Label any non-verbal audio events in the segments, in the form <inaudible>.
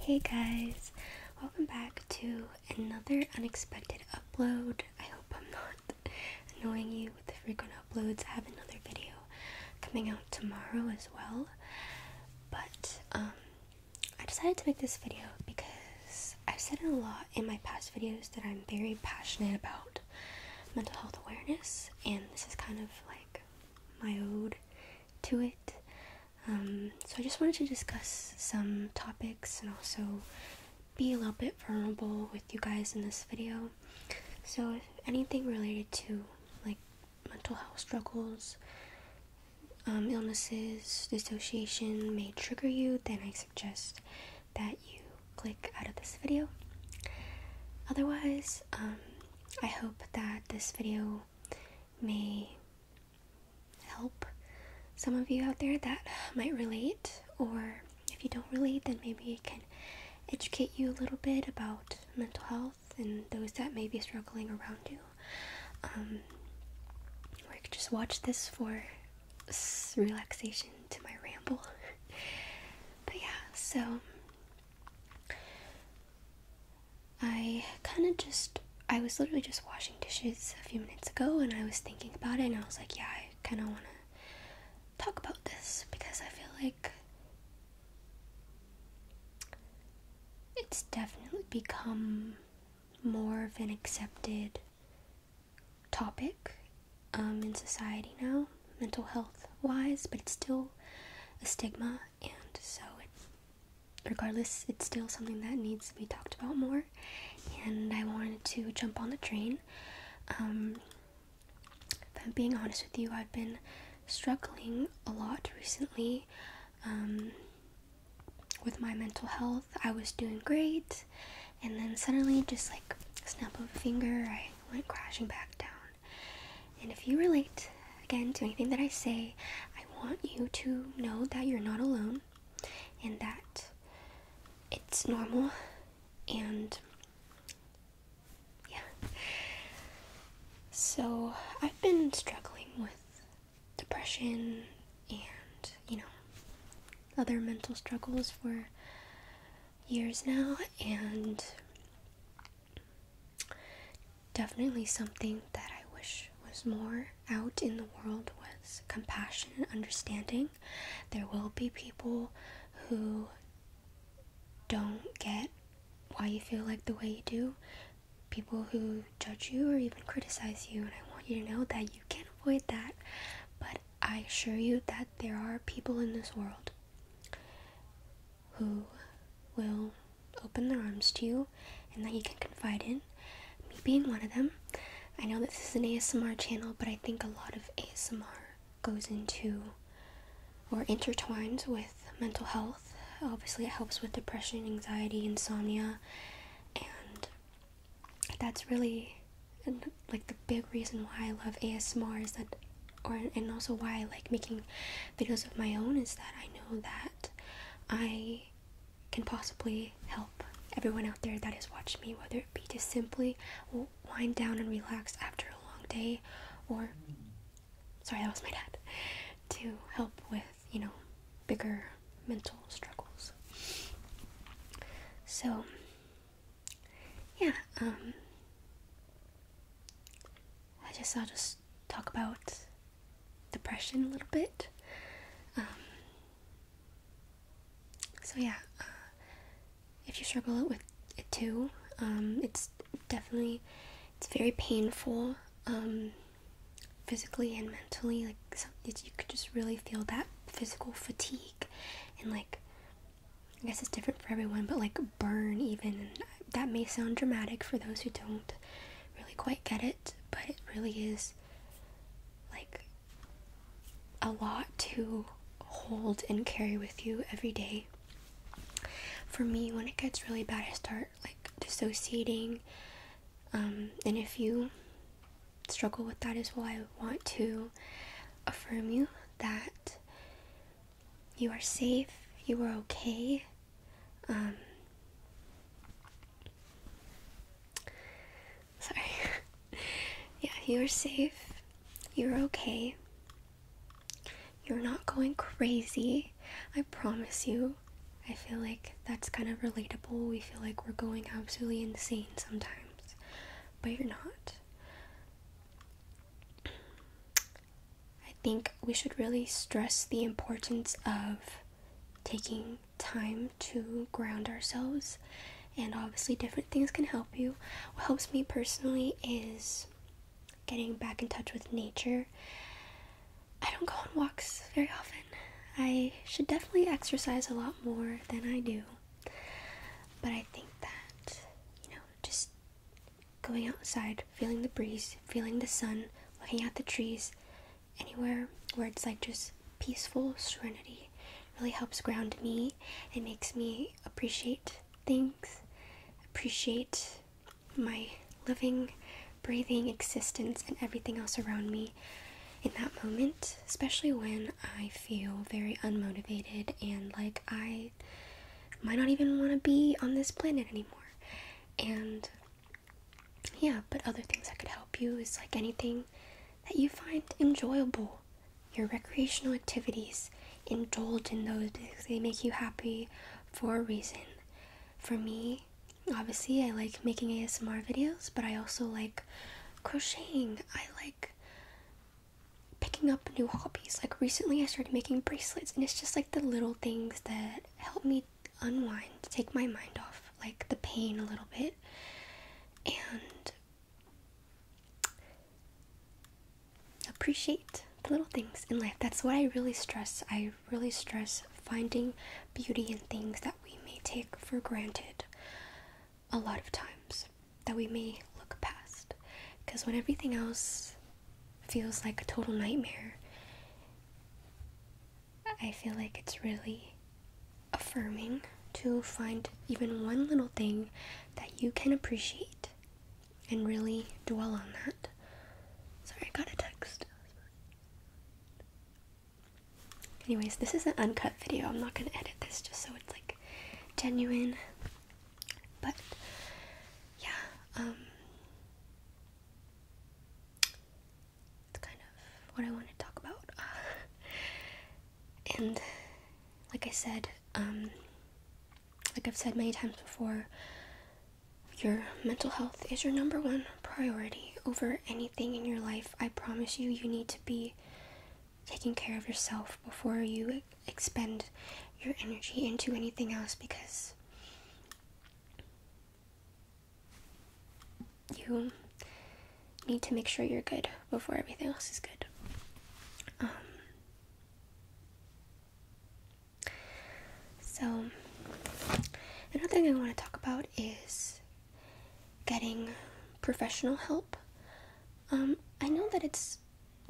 Hey guys, welcome back to another unexpected upload. I hope I'm not annoying you with the frequent uploads. I have another video coming out tomorrow as well. But um, I decided to make this video because I've said it a lot in my past videos that I'm very passionate about mental health awareness, and this is kind of like my ode to it. Um, so I just wanted to discuss some topics and also be a little bit vulnerable with you guys in this video. So if anything related to like mental health struggles, um, illnesses, dissociation may trigger you, then I suggest that you click out of this video. Otherwise, um, I hope that this video may help some of you out there that might relate, or if you don't relate, then maybe it can educate you a little bit about mental health and those that may be struggling around you. Um, or you could just watch this for relaxation to my ramble. <laughs> but yeah, so I kind of just, I was literally just washing dishes a few minutes ago and I was thinking about it and I was like, yeah, I kind of want to talk about this because I feel like it's definitely become more of an accepted topic um, in society now mental health wise, but it's still a stigma, and so regardless, it's still something that needs to be talked about more. And I wanted to jump on the train. Um, if I'm being honest with you, I've been struggling a lot recently um, with my mental health. I was doing great, and then suddenly, just like snap of a finger, I went crashing back down. And if you relate again to anything that I say, I want you to know that you're not alone and that it's normal and yeah. So, I've been struggling with depression and, you know, other mental struggles for years now, and definitely something that I wish was more out in the world was compassion and understanding. There will be people who don't get why you feel like the way you do, people who judge you or even criticize you, and I want you to know that you can't avoid that. But I assure you that there are people in this world who will open their arms to you and that you can confide in. Me being one of them. I know that this is an ASMR channel, but I think a lot of ASMR goes into or intertwines with mental health. Obviously, it helps with depression, anxiety, insomnia, and that's really and like the big reason why I love ASMR is that, or and also why I like making videos of my own is that I know that I can possibly help everyone out there that is watching me, whether it be to simply wind down and relax after a long day, or sorry, that was my dad, to help with you know bigger mental struggles. So yeah, um, I guess I'll just talk about depression a little bit. Um, so yeah, uh, if you struggle with it too, um, it's definitely it's very painful, physically and mentally. Like you could just really feel that physical fatigue and like I guess it's different for everyone, but like burn, even that may sound dramatic for those who don't really quite get it, but it really is like a lot to hold and carry with you every day. For me, when it gets really bad, I start like dissociating. Um, and if you struggle with that as well, I want to affirm you that you are safe, you are okay. Um, <laughs> sorry. <laughs> yeah, you are safe, you're okay. You're not going crazy. I promise you. I feel like that's kind of relatable. We feel like we're going absolutely insane sometimes but you're not. I think we should really stress the importance of taking time to ground ourselves, and obviously, different things can help you. What helps me personally is getting back in touch with nature. I don't go on walks very often. I should definitely exercise a lot more than I do. But I think that, you know, just going outside, feeling the breeze, feeling the sun, looking at the trees, anywhere where it's like just peaceful serenity really helps ground me It makes me appreciate things, appreciate my living, breathing existence and everything else around me in that moment, especially when I feel very unmotivated and like I might not even want to be on this planet anymore. And yeah, but other things that could help you is like anything that you find enjoyable, your recreational activities. Indulge in those they make you happy for a reason. For me, obviously, I like making ASMR videos, but I also like crocheting. I like picking up new hobbies. Like recently I started making bracelets and it's just like the little things that help me unwind, take my mind off like the pain a little bit. And appreciate the little things in life. That's what I really stress. I really stress finding beauty in things that we may take for granted a lot of times that we may look past. Because when everything else feels like a total nightmare, I feel like it's really affirming to find even one little thing that you can appreciate and really dwell on that. Sorry, I got a text. Anyways, this is an uncut video. I'm not gonna edit this just so it's like genuine. But yeah, um it's kind of what I want to talk about. <laughs> and like I said, um like I've said many times before, your mental health is your number one priority over anything in your life. I promise you, you need to be taking care of yourself before you expend your energy into anything else because you need to make sure you're good before everything else is good. Um, so, another thing I want to talk about is getting professional help. Um, I know that it's.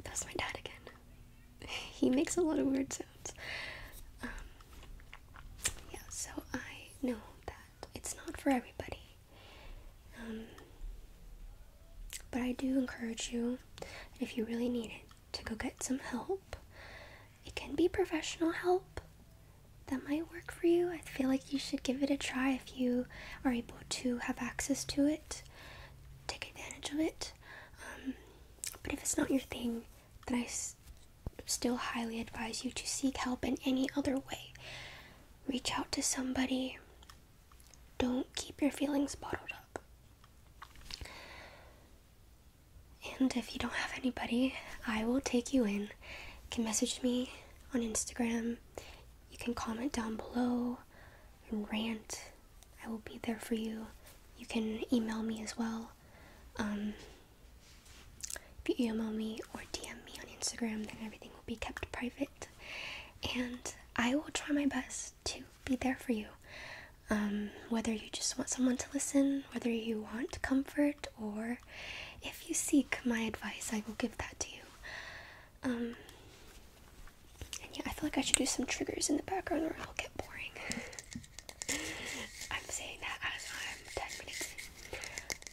thats my dad again. <laughs> He makes a lot of weird sounds. Um, yeah, so I know that it's not for everybody. Um, but I do encourage you, if you really need it, to go get some help it can be professional help that might work for you. I feel like you should give it a try if you are able to have access to it. Take advantage of it. Um, but if it's not your thing, then I still highly advise you to seek help in any other way. Reach out to somebody. Don't keep your feelings bottled up. And if you don't have anybody, I will take you in. You can message me on Instagram. You can comment down below and rant. I will be there for you. You can email me as well. Um, if you email me or DM me on Instagram, then everything will be kept private. And I will try my best to be there for you. Um, whether you just want someone to listen, whether you want comfort or if you seek my advice, I will give that to you. Um, and yeah, I feel like I should do some triggers in the background or it'll get boring. <laughs> I'm saying that as I'm 10 minutes in.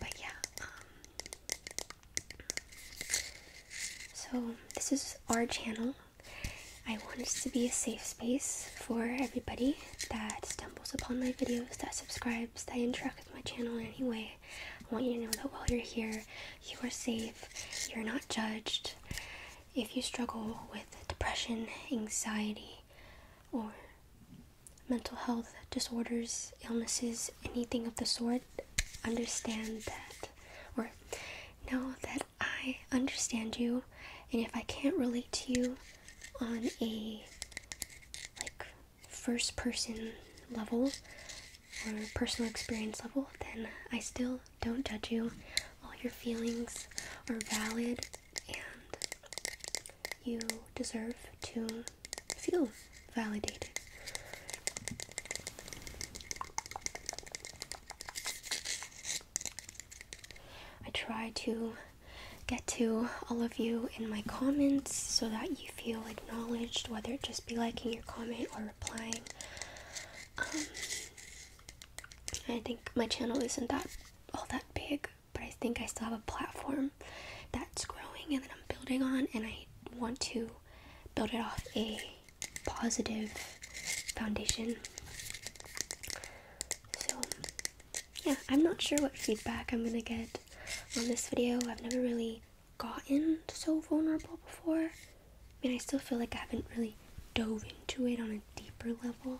But yeah, um, so this is our channel. I want it to be a safe space for everybody that stumbles upon my videos, that subscribes, that interacts with my channel in any way. I want you to know that while you're here, you are safe, you're not judged. If you struggle with depression, anxiety, or mental health disorders, illnesses, anything of the sort, understand that. Or know that I understand you, and if I can't relate to you, on a like first person level or personal experience level, then I still don't judge you. All your feelings are valid and you deserve to feel validated. I try to get to all of you in my comments so that you feel acknowledged, whether it just be liking your comment or replying. Um, I think my channel isn't that all that big, but I think I still have a platform that's growing and that I'm building on, and I want to build it off a positive foundation. So yeah, I'm not sure what feedback I'm gonna get on this video. I've never really gotten so vulnerable before. I mean, I still feel like I haven't really dove into it on a deeper level,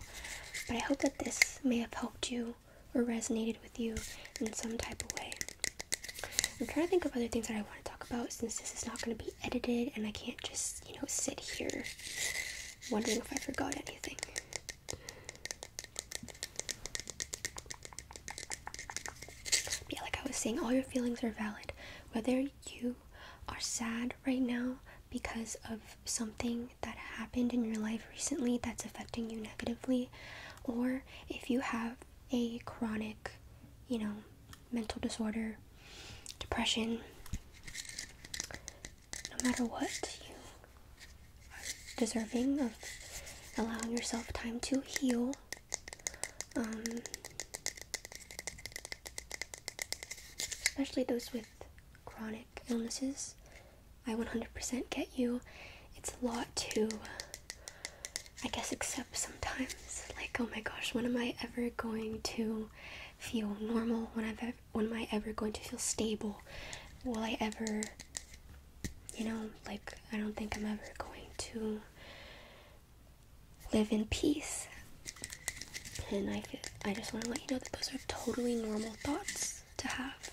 but I hope that this may have helped you or resonated with you in some type of way. I'm trying to think of other things that I want to talk about since this is not going to be edited and I can't just, you know, sit here wondering if I forgot anything. Yeah, like I was saying, all your feelings are valid. Whether you are sad right now because of something that happened in your life recently that's affecting you negatively, or if you have a chronic, you know, mental disorder, depression, no matter what, you are deserving of allowing yourself time to heal. Um, especially those with chronic illnesses. I 100% get you. It's a lot to, I guess, accept sometimes. Like, oh my gosh, when am I ever going to feel normal, when I've ever, when am I ever going to feel stable? Will I ever, you know, like I don't think I'm ever going to live in peace. And I feel, I just want to let you know that those are totally normal thoughts to have.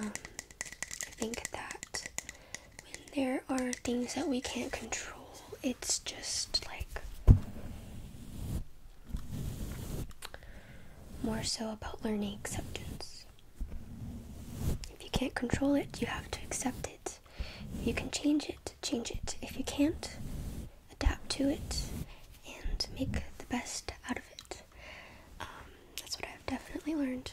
Um, I think that when there are things that we can't control, it's just like more so about learning acceptance. If you can't control it, you have to accept it. If you can change it, change it. If you can't, adapt to it and make the best out of it. Um, that's what I've definitely learned.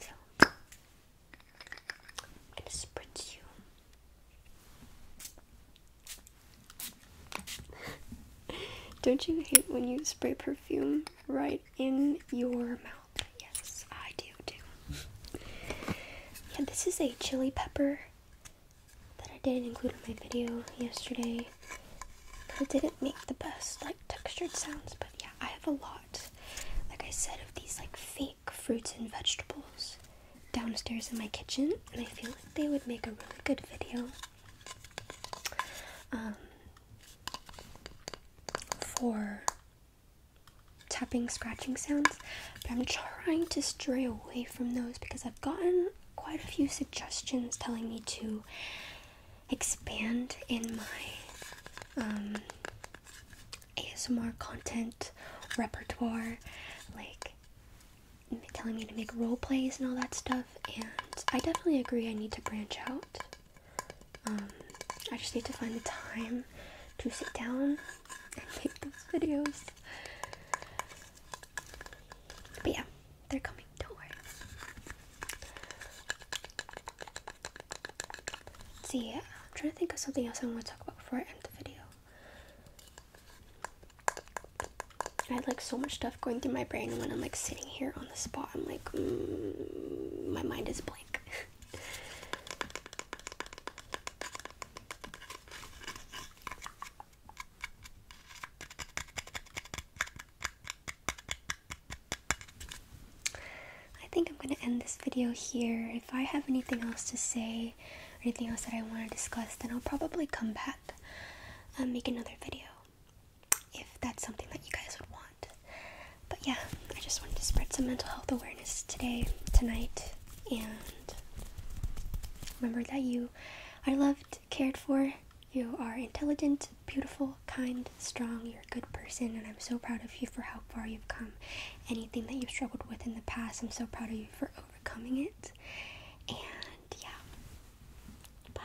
So I'm gonna spritz you. <laughs> Don't you hate when you spray perfume right in your mouth? Yes, I do too. yeah, this is a chili pepper that I didn't include in my video yesterday. I didn't make the best like textured sounds, but yeah, I have a lot, like I said, of these like fake fruits and vegetables downstairs in my kitchen, and I feel like they would make a really good video. Um, for tapping, scratching sounds, but I'm trying to stray away from those because I've gotten quite a few suggestions telling me to expand in my um, ASMR content repertoire, like telling me to make role plays and all that stuff, and I definitely agree I need to branch out. Um, I just need to find the time to sit down and make those videos. But yeah, they're coming. Don't worry. Let's see, I'm trying to think of something else I want to talk about before I end the video. I had like so much stuff going through my brain when I'm like sitting here on the spot. I'm like, mm, my mind is blank. <laughs> I think I'm going to end this video here. If I have anything else to say or anything else that I want to discuss, then I'll probably come back and make another video if that's something that you guys would want. But yeah, I just wanted to spread some mental health awareness today, tonight, and remember that you are loved, cared for, you are intelligent, beautiful, kind, strong, you're a good person, and I'm so proud of you for how far you've come. Anything that you've struggled with in the past, I'm so proud of you for overcoming it. And yeah, bye.